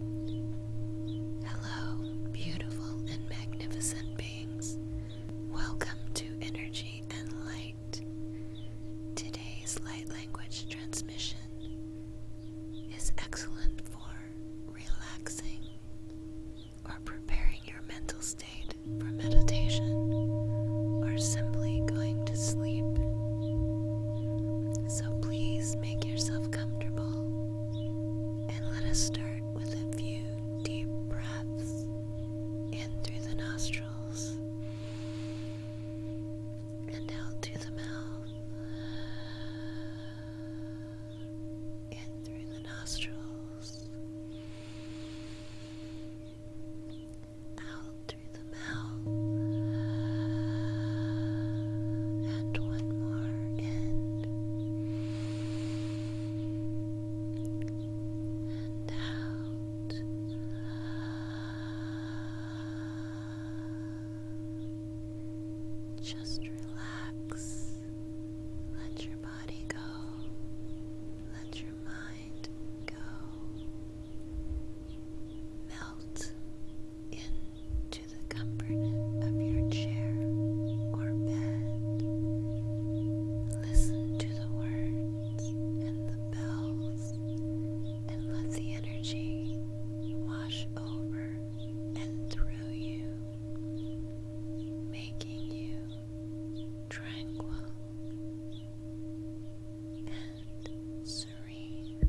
Hello, beautiful and magnificent beings. Welcome to Energy and Light. Today's light language transmission is excellent for relaxing or preparing your mental state for meditation or simply going to sleep. So please make yourself comfortable and let us start with a few deep breaths in through the nostrils and out through the mouth. In through the nostrils, out through the mouth, and one more in, and out. Just relax. Let your body go. Let your mind go. Melt into the comfort of your chair or bed. Listen to the words and the bells and let the energy wash over and through you, making you tranquil and serene.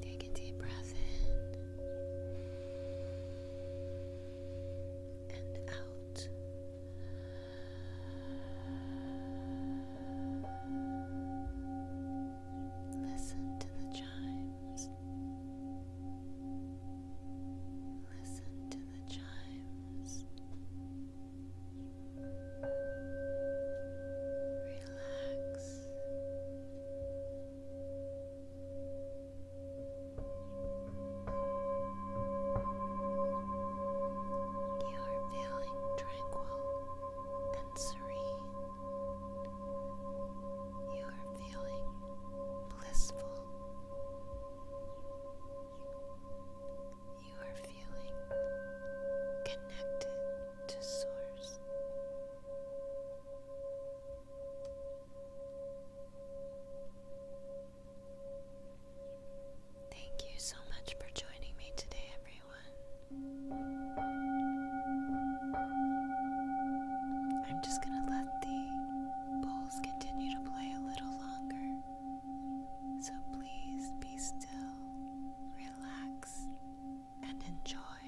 Take a deep breath in and out. Listen to the chimes. Listen to the chimes. Relax. You are feeling tranquil and serene. You are feeling blissful you are feeling connected to Source. Thank you so much for joining me today, everyone. I'm just going to let the bowls continue to play a little longer. So please be still, relax, and enjoy.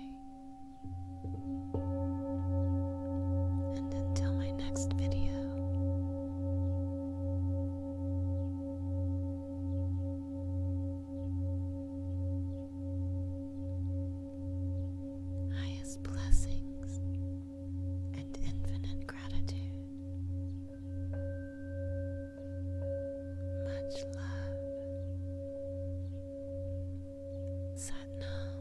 And until my next video, highest blessings and infinite gratitude. Much love. Satnam.